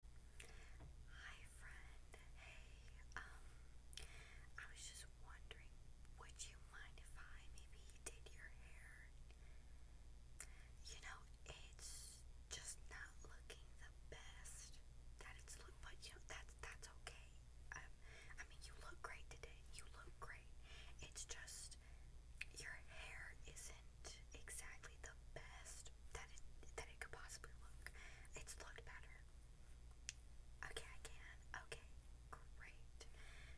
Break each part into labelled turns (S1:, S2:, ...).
S1: Hi friend, hey, um, I was just wondering, would you mind if I maybe did your hair? You know, it's just not looking the best that it's look, but you know, that's, that's okay. Um, I mean, you look great today, you look great. It's just, your hair isn't exactly the best that it that it could possibly look. It's looked better. Okay, I can. Okay, great.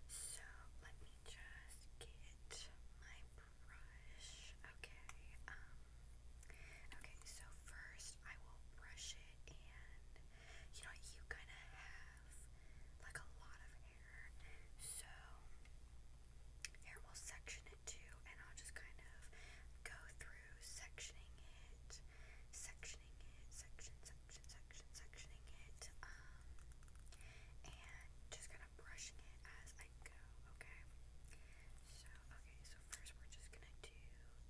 S1: So let me just get my brush. Okay. Um, okay. So first, I will brush it, and you know you kind of have like a lot of hair, so. Here we'll section it too, and I'll just kind of go through sectioning it, sectioning it, section, section, section, sectioning it, um, and just kind of brushing it as I go, okay? So, okay, so first we're just gonna do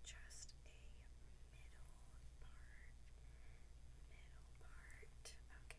S1: just a middle part, middle part, okay?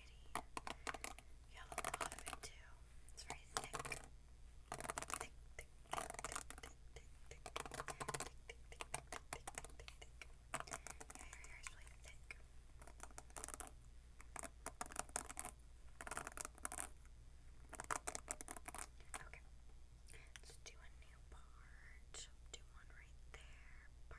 S1: pretty. You have a too. It's very thick, thick, thick, thick, thick, thick, thick, thick, thick, thick, thick, thick. Yeah, your hair is really thick. Okay. Let's do a new part. Do one right there.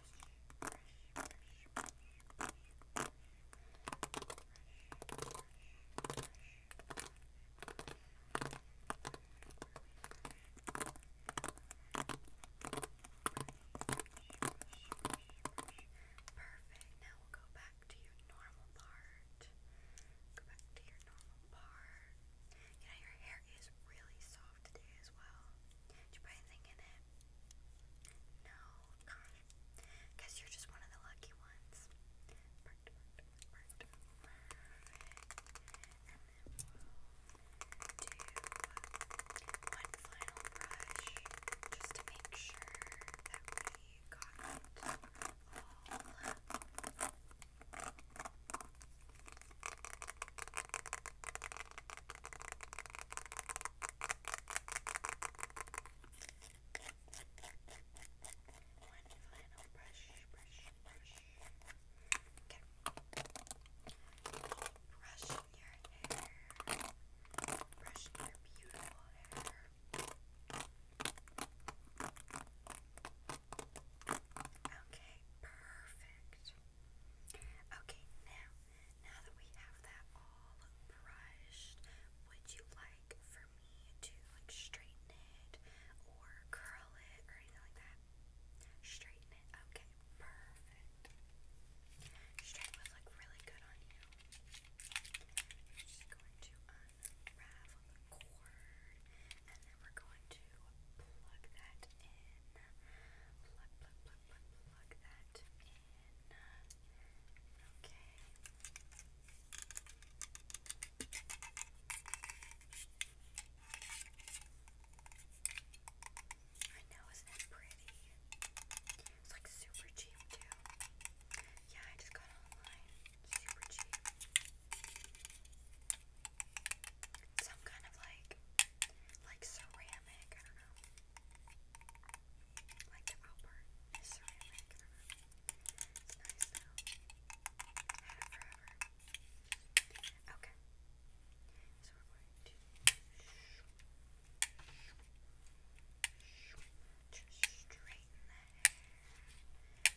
S1: Perfect. Now we'll go back to your normal part. Go back to your normal part. You know, your hair hair really soft today as well. Did you put anything in it? No, God. you're just one of the lucky ones. one final brush just to make sure that we got all one final brush, brush, brush. Okay. Brushing your hair. Brushing your beautiful hair. Okay. Okay, perfect. Okay, now, now that we have that all brushed, would you like for me to like straighten it or curl it or anything like that? Straighten it. Okay, perfect. Straight would look really good on you. just going to unravel from the and then we're going to plug that in. Plug, plug, plug, plug, plug that in. Okay. I know, isn't it pretty? It's like super cheap too. Yeah, I just got online. Super cheap. Some kind of like, like ceramic, I don't know. Like the outburn is ceramic, I don't know. It's nice though. I had it forever. Okay. So we're going to just straighten the hair.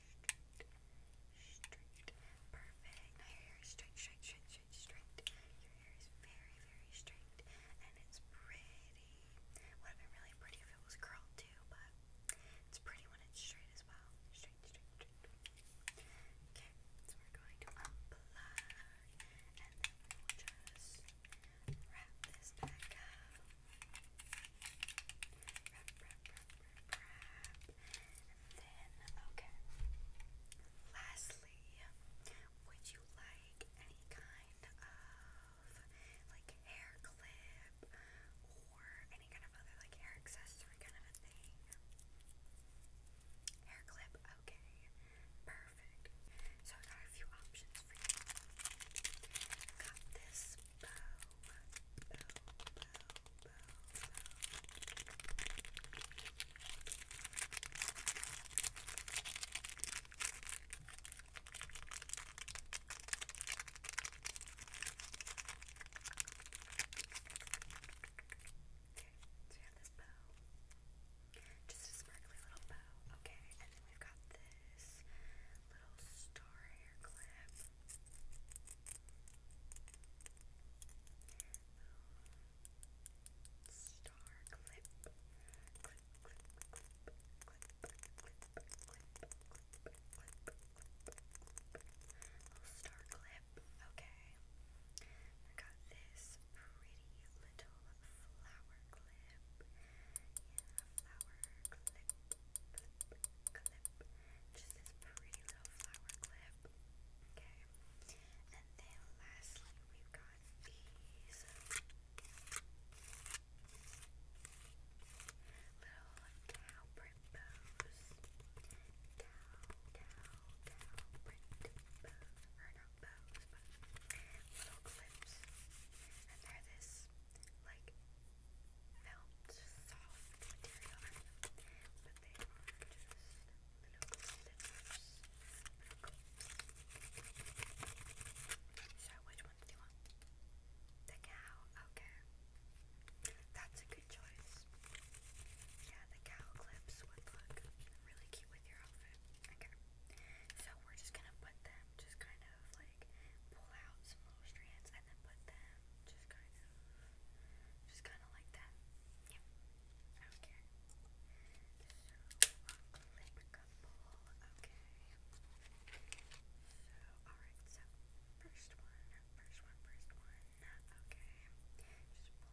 S1: straight, straight. Perfect. Now your hair is straight, straight, straight, straight, straight. Your hair is very, very straight, and it's pretty. Would have been really pretty if it was curled too, but it's pretty when it's straight as well. Straight, straight, straight. Okay, so we're going to unplug, and then we will just wrap this back up. Wrap, wrap, wrap, then, okay. Lastly, would you like any kind of like hair clip or any kind of other like hair accessory kind of a thing? Hair clip, okay. Perfect. So I got a few options for you. Got this bow this bow. Just a sparkly little bow. Okay, and then we've got this little star hair clip. Star clip, Okay. I got this pretty little flower clip. Yeah, flower clip, clip, just this pretty little flower clip. Okay, and then lastly, we've got these little cow print bows. Cow, cow, cow print bows. Or not bows, but little clips. And they're this like felt soft material, but they are just little slippers, little So which one do you want? The cow, okay. That's a good choice. Yeah, the cow clips would look really cute with your outfit. So we're just gonna put them just kind of like like pull out some little strands and then put them just kind of, just kind of like that. Yeah, I So I'll clip a couple. first one. Okay, just pull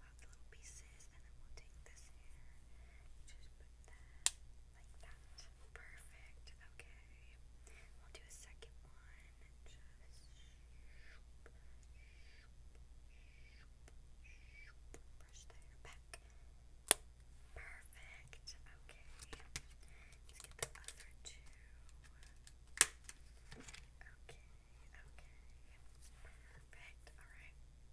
S1: out the little pieces and then we'll take this here. Just put that. Like that. Perfect. Okay. We'll do a second one. Just brush the back. Perfect. Okay. Let's get the other two. Okay. Okay. Perfect. Alright.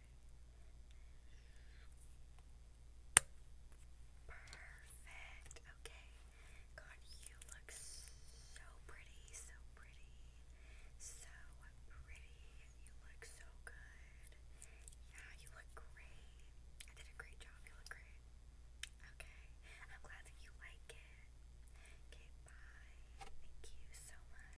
S1: Perfect. Okay. God, you look so pretty, so pretty, so pretty. You look so good. Yeah, you look great. I did a great job. You look great. Okay. I'm glad that you like it. Okay, bye. Thank you so much.